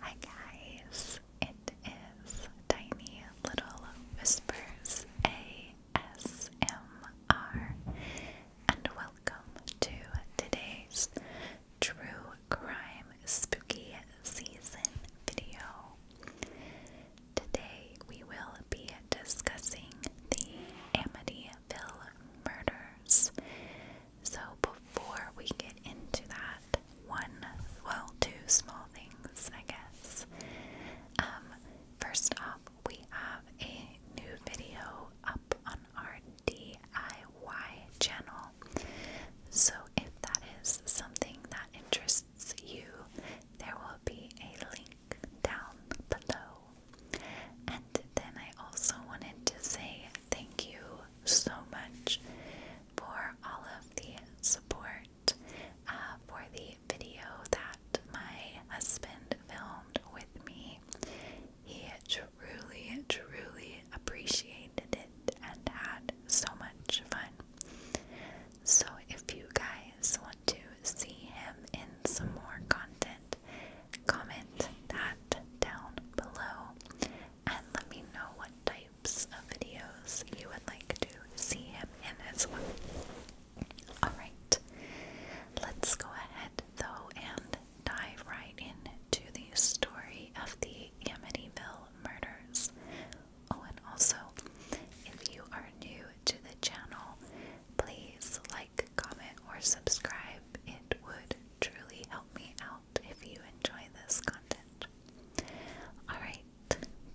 Hi guys, it is Tiny Little Whispers ASMR, and welcome to today's True Crime Spooky Season video. Today we will be discussing the Amityville murders. So before we get into that, one, well, two small things, I guess. Um, first off, we have a new video up on our DIY channel. So if that is something that interests you, there will be a link down below. And then I also wanted to say thank you so much for all of the support uh, for the video that my husband filmed with me. He truly, truly appreciated it and had so much fun. So, if you guys want to see him in some more content, comment that down below and let me know what types of videos you would like to see him in as well. Alright, let's go ahead though and dive right into the story of the Amityville murders. Oh, and also, if you are new to the channel, please like, comment, or subscribe. It would truly help me out if you enjoy this content. Alright,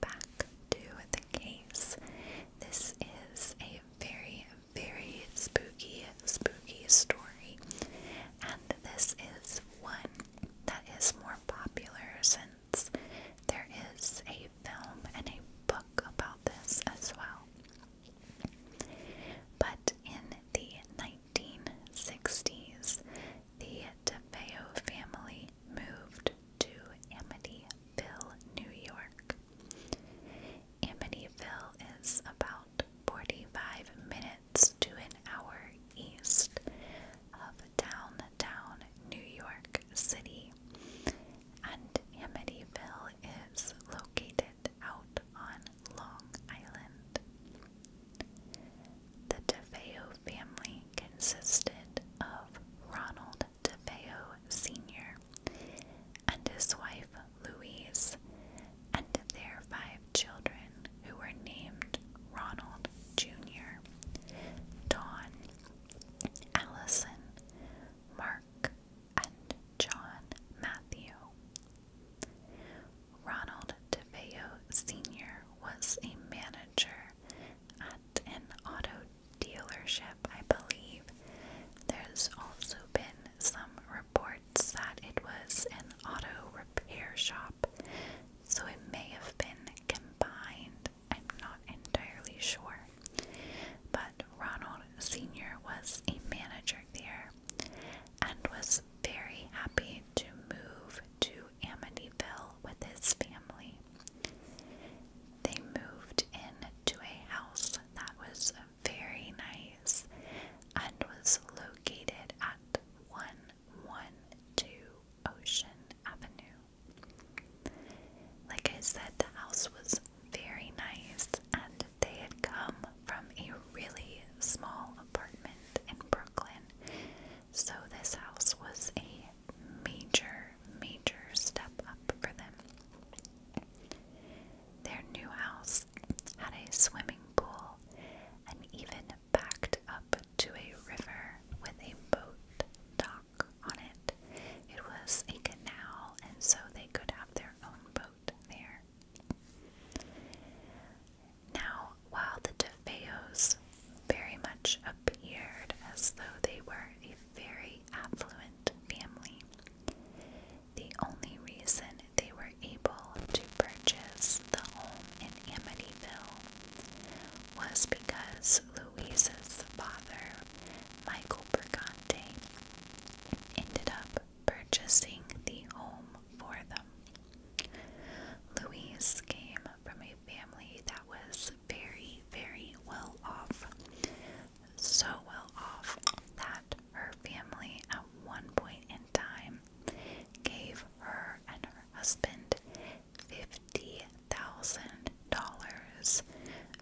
back to the case. This is a very, very spooky, spooky story, and this is one that is more popular since there is a film and a book about this as well. But in the 1960s, the DeFeo family moved to Amityville, New York. Amityville is about 45 minutes to an hour east of downtown New York City, and Amityville is located out on Long Island. The DeFeo family consisted of Ronald DeFeo Sr. and his wife Louise, and their five children who were named Ronald Jr., Don, Allison, Mark, and John Matthew. Ronald DeVeo Sr. was a manager at an auto dealership, I believe. There's also been some reports that it was an auto repair shop, so it may have been combined. I'm not entirely sure. But Ronald Sr. was a manager there, and was very happy to move to Amityville with his family. They moved into a house that was very nice and was located at 112 Ocean Avenue. Like I said, the house was very nice and they had come from a really small apartment in Brooklyn, so this house was a major, major step up for them. Their new house had a swimming pool and even backed up to a river with a boat dock on it. It was a canal, and so they could have their own boat there. Now, while the DeFeos very much appeared as though they were a very affluent family, the only reason they were able to purchase the home in Amityville was because Louisa's father, Michael Bergante, ended up purchasing the home for them. Louise came from a family that was very, very well off. So well off that her family at one point in time gave her and her husband $50,000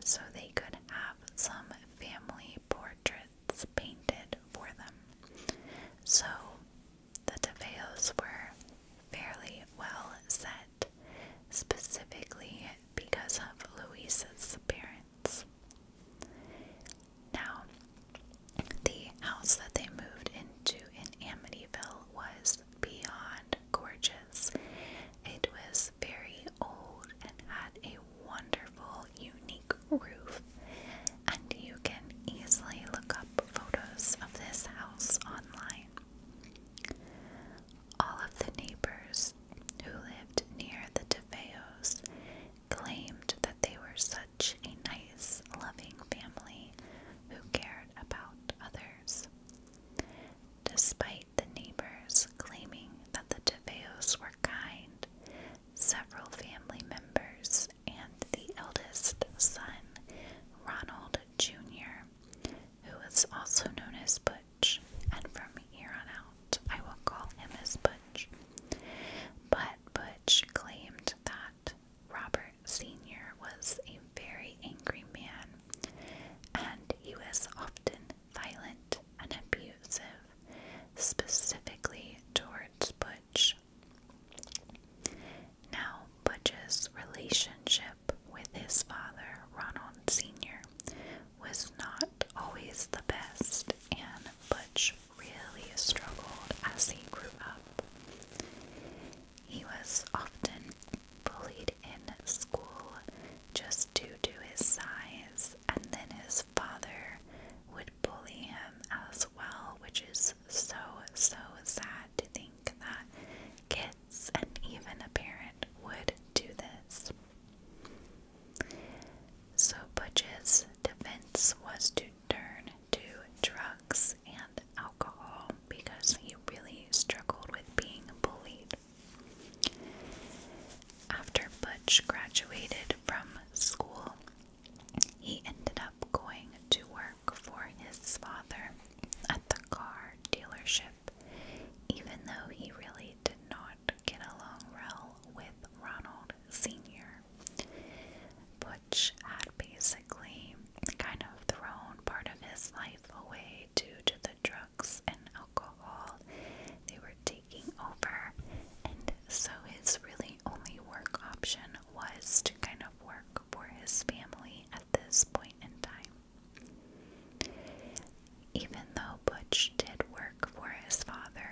so they could have some family portraits portraits painted for them. So the Teveos were fairly well set, specifically because of Louisa's parents. Now, the house that they moved into in Amityville was beyond gorgeous. It was very old and had a wonderful unique roof, and you can easily look up photos of this house online. All of the neighbors who lived near the DeFeos claimed that they were such a nice, loving family who cared about others. Despite the neighbors claiming that the DeFeos were kind, several family members, and the eldest son, Ronald Jr., who is also known as Butch, and from here on out I will call him as Butch. But Butch claimed that Robert Sr. was a very angry man, and he was often violent and abusive, specifically towards Butch. Now, Butch's relationship with his father, Ronald Sr., was not always the best, and Butch really struggled as he grew up. He was often bullied in school just due to his size, and then his father mother would bully him as well, which is so, so sad to think that kids and even a parent would do this. So Butch's defense was to turn to drugs and alcohol because he really struggled with being bullied. After Butch graduated from school, he ended up going to work for his father at the car dealership, even though he really did not get along well with Ronald Sr. Butch had basically kind of thrown part of his life away due to the drugs and alcohol. They were taking over, and so his really only work option was to kind of work for his family at this point in time. Even though Butch did work for his father,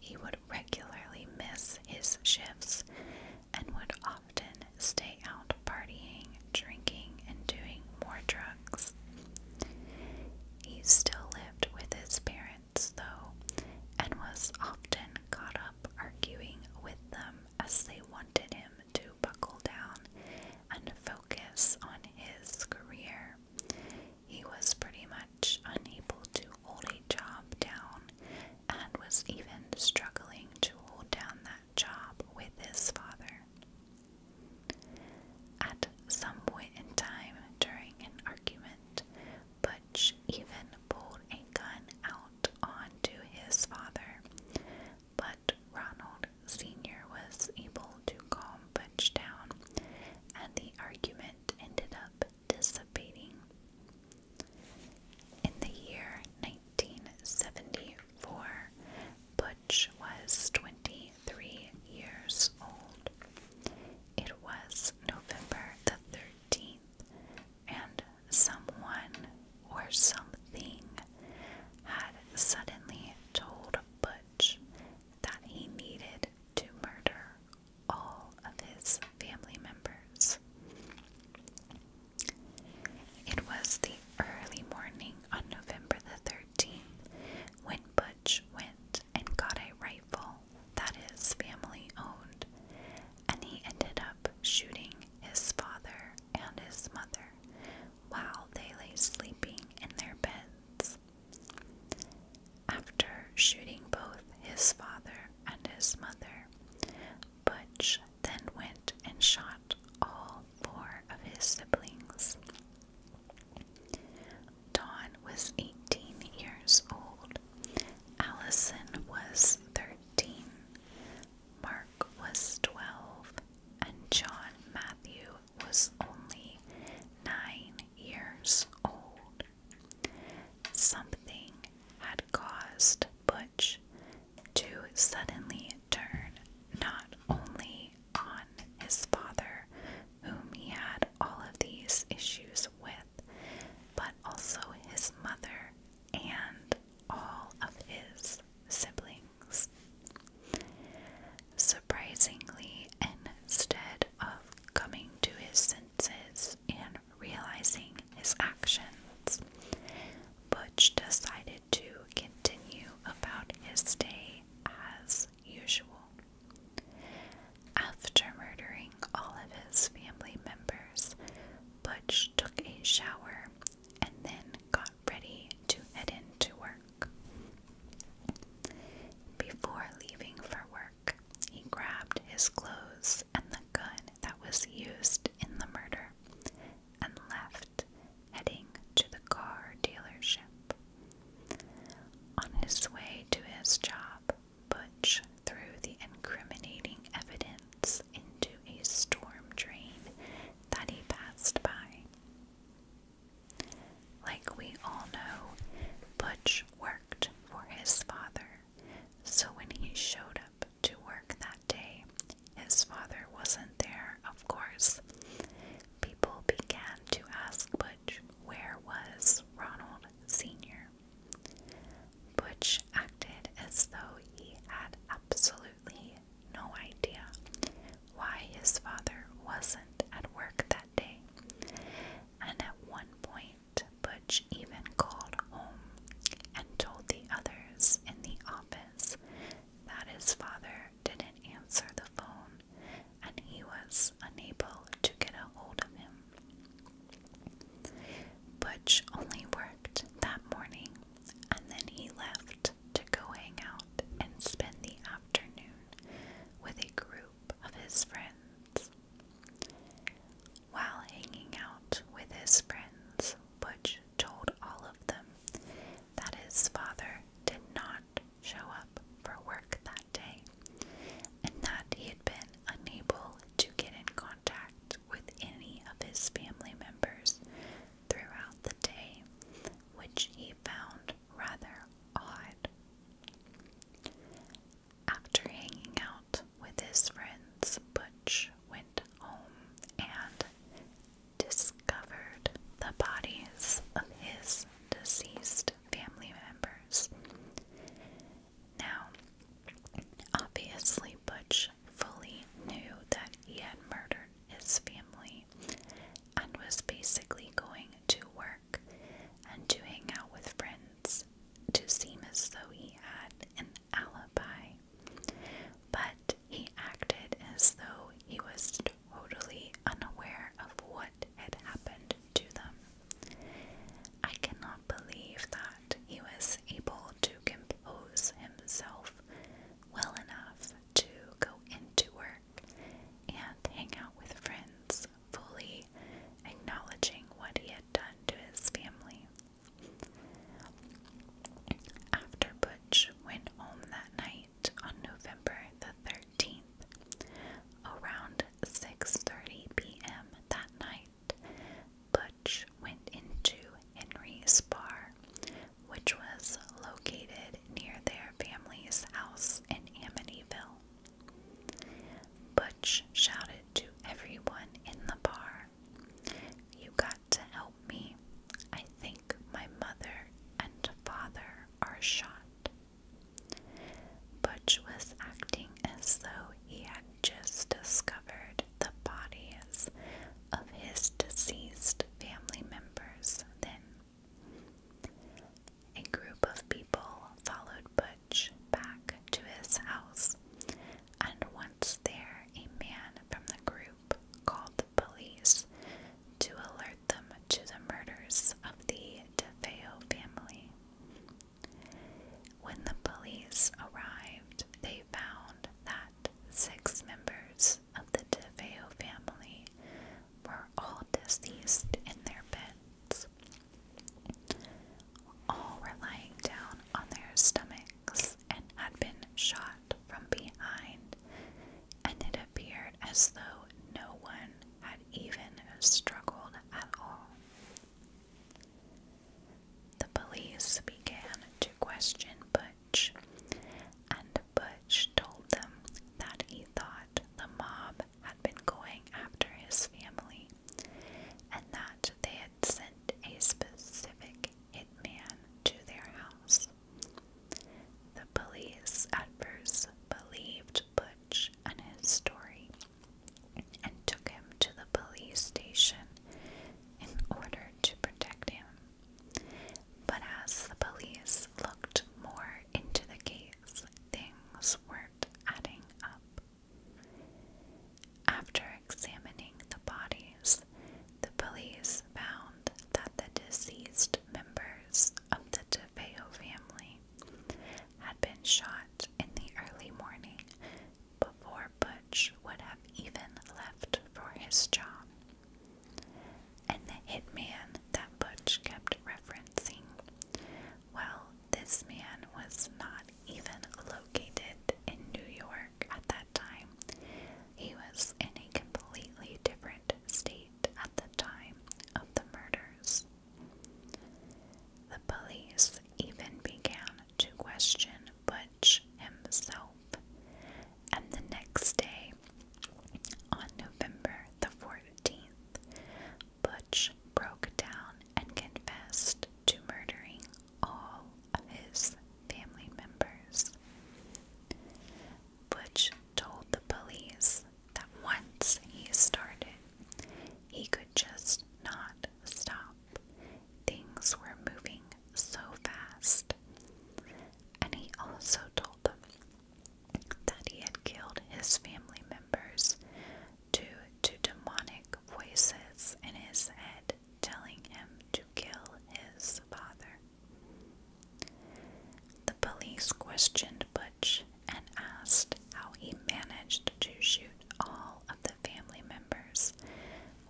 he would regularly miss his shifts and would often stay out partying, drinking, and doing more drugs. He still lived with his parents, though, and was often caught up arguing with them as they wanted him to buckle down and focus on his career. He was pretty much unable to hold a job down and was even struggling to hold down that job with his father. At some point in time during an argument, Butch even pulled a gun out onto his father, but Ronald Sr. was able to calm Butch down, and the argument ended up dissipating. In the year 1974, Butch was 23 years old. It was November the 13th, and someone or something had suddenly told Butch that he needed to murder all of his family members. It was the early morning on November the 13th when Butch. Butch went and got a rifle that is family owned, and he ended up shooting his father and his mother while they lay sleeping in their beds. After shooting both his father and his mother, Butch then went and shot all four of his siblings. Dawn was 18 years old. Allison was 13. Mark was 12. And John Matthew was only 9 years old. Something had caused Butch to suddenly turn not only on his father, whom he had all of these issues with, but also his mother and all of his siblings. Surprisingly, instead of coming to his senses and realizing his actions, Butch decided to continue about his day as usual. After murdering all of his family members, Butch took a shower and then got ready to head into work. Before leaving for work, he grabbed his clothes and the gun that was used in the murder and left heading to the car dealership. On his way to his job, Butch threw the incriminating evidence into a storm drain that he passed by. Like we all know, Butch worked for his father, so when he showed up to work that day, his father wasn't there, of course people began to ask Butch where was Ronald Sr. Butch acted as though he had absolutely no idea why his father wasn't at work that day, and at one point, Butch even called home and told the others in the office that his father didn't answer the phone and he was unable to get a hold of him. Butch only worked that morning and then he left to go hang out and spend the afternoon with a group of his friends. While hanging out with his friends, Butch told all of them that his father did not show up for work that day, and that he had been unable to get in contact with any of his family members throughout the day, which he found rather odd. After hanging out with his friends, Butch went home and discovered the bodies of his deceased family members. Now, obviously, Butch fully knew that he had murdered his family and was basically going to work and to hang out with friends to seem as though he had an alibi. But he acted as though he was totally unaware of what had happened to them. I cannot believe that he was able to compose himself well enough to go into work and hang out with friends, fully acknowledging what he had done to his family. After Butch went home that night, on November the 13th, around 6:30 p.m. that night, Butch went into Henry's bar, which was located near their family's house in Amityville. Butch shouted to everyone in the bar, You got to help me. I think my mother and father are shot. Butch was acting as though he had just discovered the bodies of his deceased family members then. A group of people followed Butch back to his house, and once there, a man from the group called the police to alert them to the murders of the DeFeo family. When the police arrived, they found that six members of the DeFeo family were all deceased in their beds. All were lying down on their stomachs and had been shot from behind, and it appeared as though no one had even struggled at all. The police began to question Butch, and Butch told them that he thought the mob had been going after his family and that they had sent a specific hitman to their house. The police at first believed Butch and his story and took him to the police station in order to protect him. But as the police looked more into the case, things weren't adding up. After examining the bodies, the police found that the deceased members of the DeFeo family had been shot in the early morning before Butch would have even left for his job. And the hitman that Butch kept referencing, well, this man was not even located in New York at that time. He was in a completely different state at the time of the murders. The police even began to question Butch himself, and the next day, on November the 14th, Butch broke down and confessed to murdering all of his family members. Butch told the police that once he started, he could just not stop. Things were moving so fast. And he also told them that he had killed his family members due to demonic voices in his head telling him to kill his father. The police questioned Butch and asked how he managed to shoot all of the family members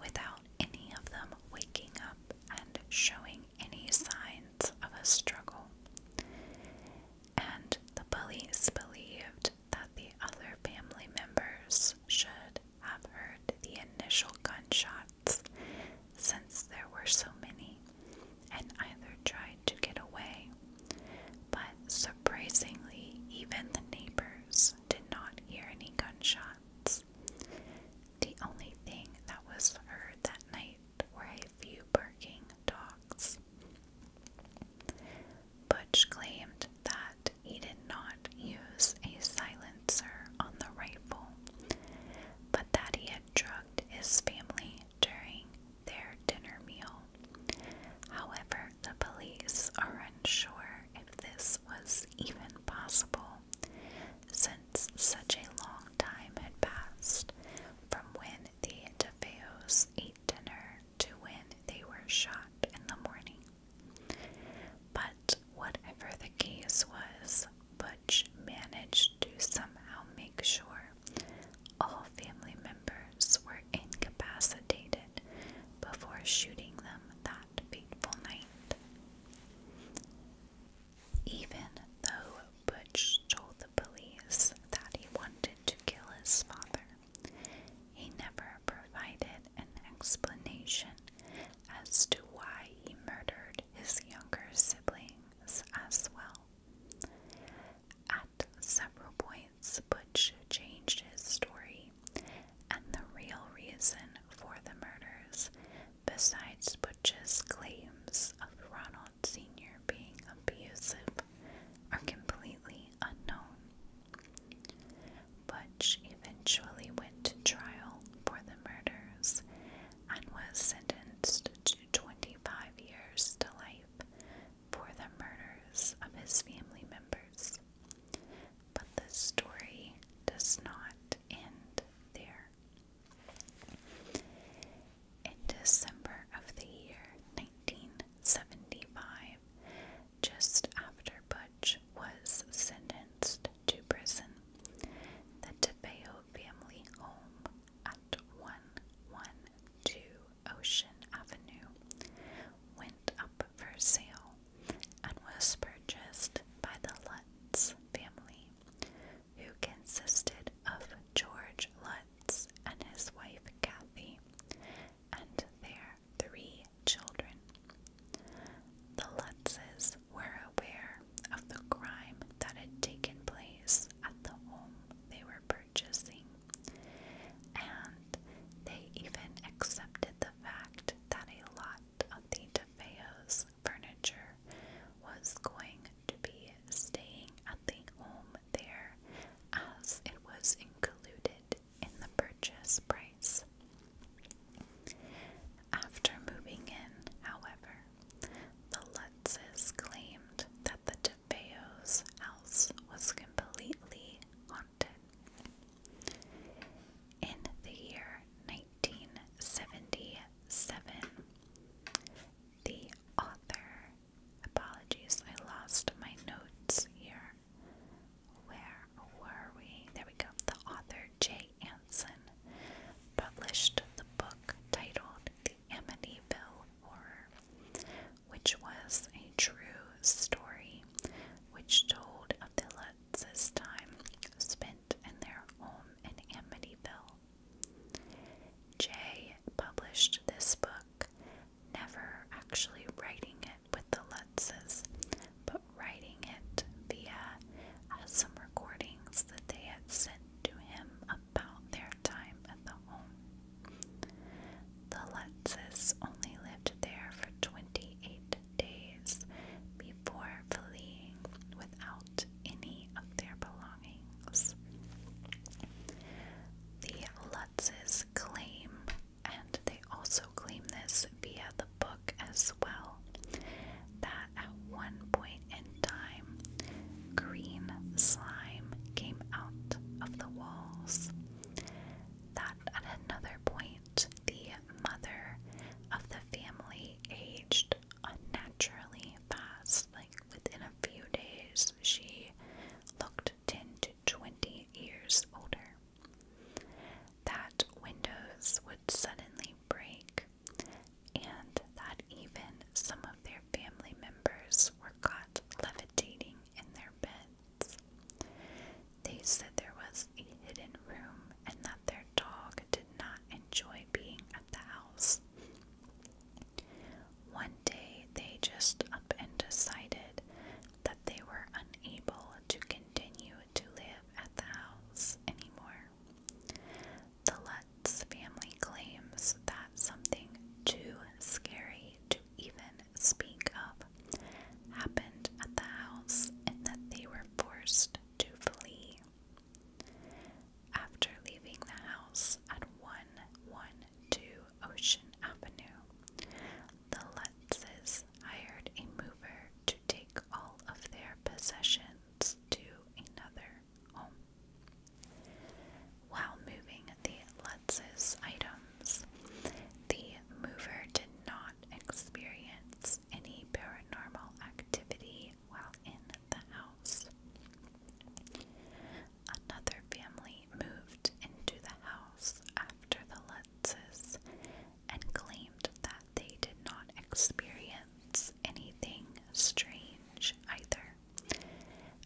without any of them waking up and showing any signs of a struggle. And the police believed that the other family members should have heard the initial gunshots, since there were so many, and either tried to get away. But surprisingly, even the neighbors did not hear any gunshots. The only thing that was heard that night were a few barking dogs. Butch claimed that he did not use a silent on the rifle, but that he had drugged his family during their dinner meal. However, the police are unsure if this was even possible, since such a long time had passed from when the DeFeos ate dinner to when they were shot in the morning. By whatever the case was, Butch managed to somehow make sure all family members were incapacitated before shooting them that fateful night. Even though Butch told the police that he wanted to kill his father, he never provided an explanation as to why he murdered his younger siblings as well. At several points, Butch changed his story, and the real reason for the murders, besides Butch's claims of Ronald Sr. being abusive, are completely unknown. Butch eventually went to trial for the murders and was sentenced to 25 years to life for the murders of his family members. But the story does not end there. In December of the year 1975, just after Butch was sentenced to prison. The Tapeo family home at 112 Ocean Avenue went up for sale and was purchased by the Lutz family, who consisted of George Lutz and his wife Kathy and their three children. The Lutzes were aware of the crime that had taken place at the home they were purchasing, and they even accepted the fact that a lot of the De DeFeo's furniture was going to be staying at the home there as it was included in the purchase price. After moving in, however, the Lutzes claimed that the DeFeos house was completely haunted. In the year 1977, the author, apologies, I lost my notes here. Where were we? There we go. The author Jay Anson published the book titled The Amityville Horror, which was a true story which told of the Lutz's time spent in their home in Amityville. Jay published this book, never actually writing it with the Lutzes, but writing it via uh, some recordings that they had sent to him about their time at the home. The Lutzes only lived there for 28 days before fleeing without any of their belongings. The Lutzes claim, and they also claim this via the book as well that at one point in time, green slime came out of the walls. That at another point, the mother of the family aged unnaturally fast. Like within a few days, she looked 10 to 20 years older that windows would suddenly break, and that even some of their family members were caught levitating in their beds. They said there was a hidden room and that their dog did not enjoy being at the house. One day they just up and decided that they were unable to continue to live at the house anymore. The Lutz family claims that something too scary to even speak of happened at the house and that they were forced to flee. After leaving the house at 112 Ocean Avenue, the Lutzes hired a mover to take all of their possessions to another home. While moving the Lutzes' items, the mover did not experience any paranormal activity while in the house. Another family moved into the house after the Lutzes and claimed that they did not experience anything strange either,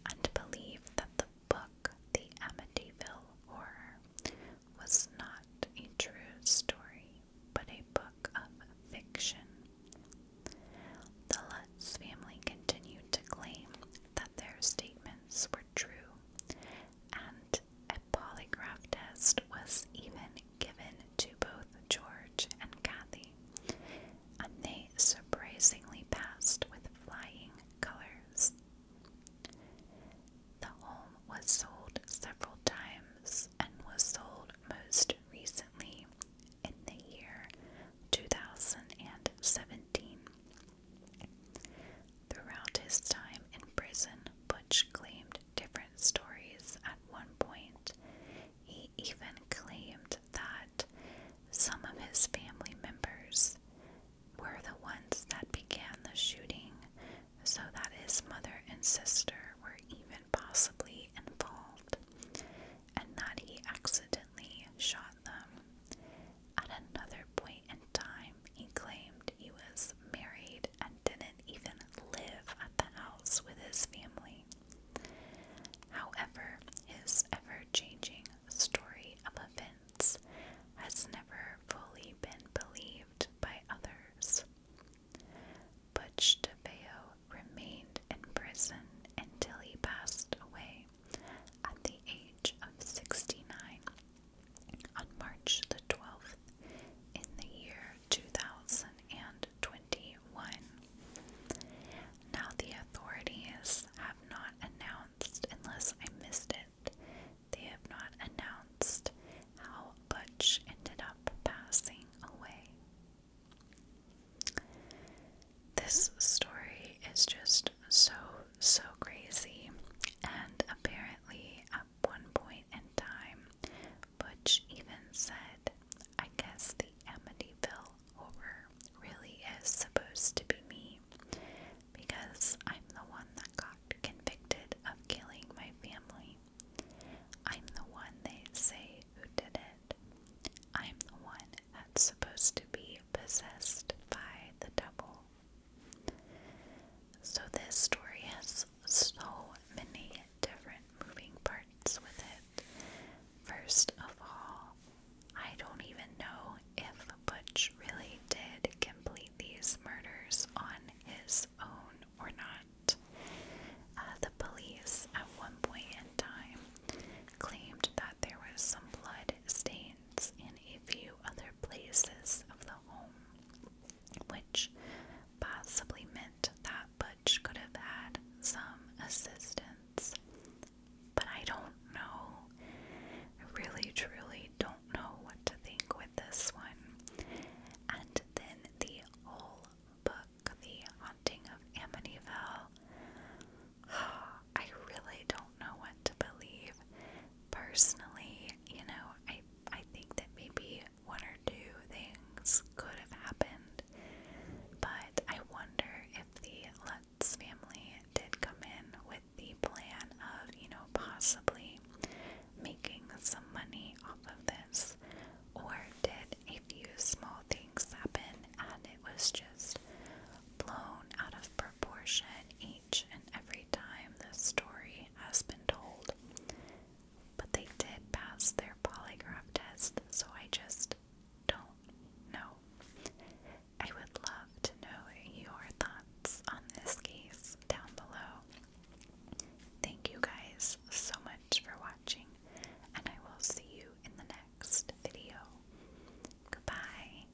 and believed that the book, The Amityville Horror, was not a true story but a book of fiction. The Lutz family continued to claim that their statements were true and a polygraph test was even given to both George and Kathy, and they surprisingly passed with flying colors. The home was sold several times and was sold most recently in the year 2017. Throughout his time in prison, Butch claimed different stories at one point. He even claimed that some of his family members were the ones that began the shooting, so that his mother and sister were even possibly involved, and that he accidentally shot them. At another point, in time, he claimed he was married and didn't even live at the house with his family. However, his ever changing story of events has never fully been believed by others. Butch DeFeo remained in prison until he passed away at the age of 69 on March the 12th, in the year 2021. Now, the authorities have not announced, unless I missed it, they have not announced how much ended up passing away. This story is just so, so crazy, and apparently, one point in time, Butch even said, I guess the Amityville horror really is supposed to be me because I'm the one that got convicted of killing my family. I'm the one they say who did it. I'm the one that's supposed to be possessed by the devil. So, this story has so many different moving parts with it. First of all, I don't even know if Butch really did complete these murders on his own or not. Uh, the police, at one point in time, claimed that there was some blood stain in a few other places of the home, which possibly meant that Butch could have had some assistance. But I don't know. I really, truly don't know what to think with this one. And then the whole book, The Haunting of Amityville. I really don't know what to believe personally, you know, I I think that maybe one or two things could have happened. But I wonder if the Lutz family did come in with the plan of, you know, possibly making some money off of this. Or did a few small things happen and it was just blown out of proportion and every time this story has been told. But they did pass their polygraph test, so I just don't know. I would love to know your thoughts on this case down below. Thank you guys so much for watching, and I will see you in the next video. Goodbye.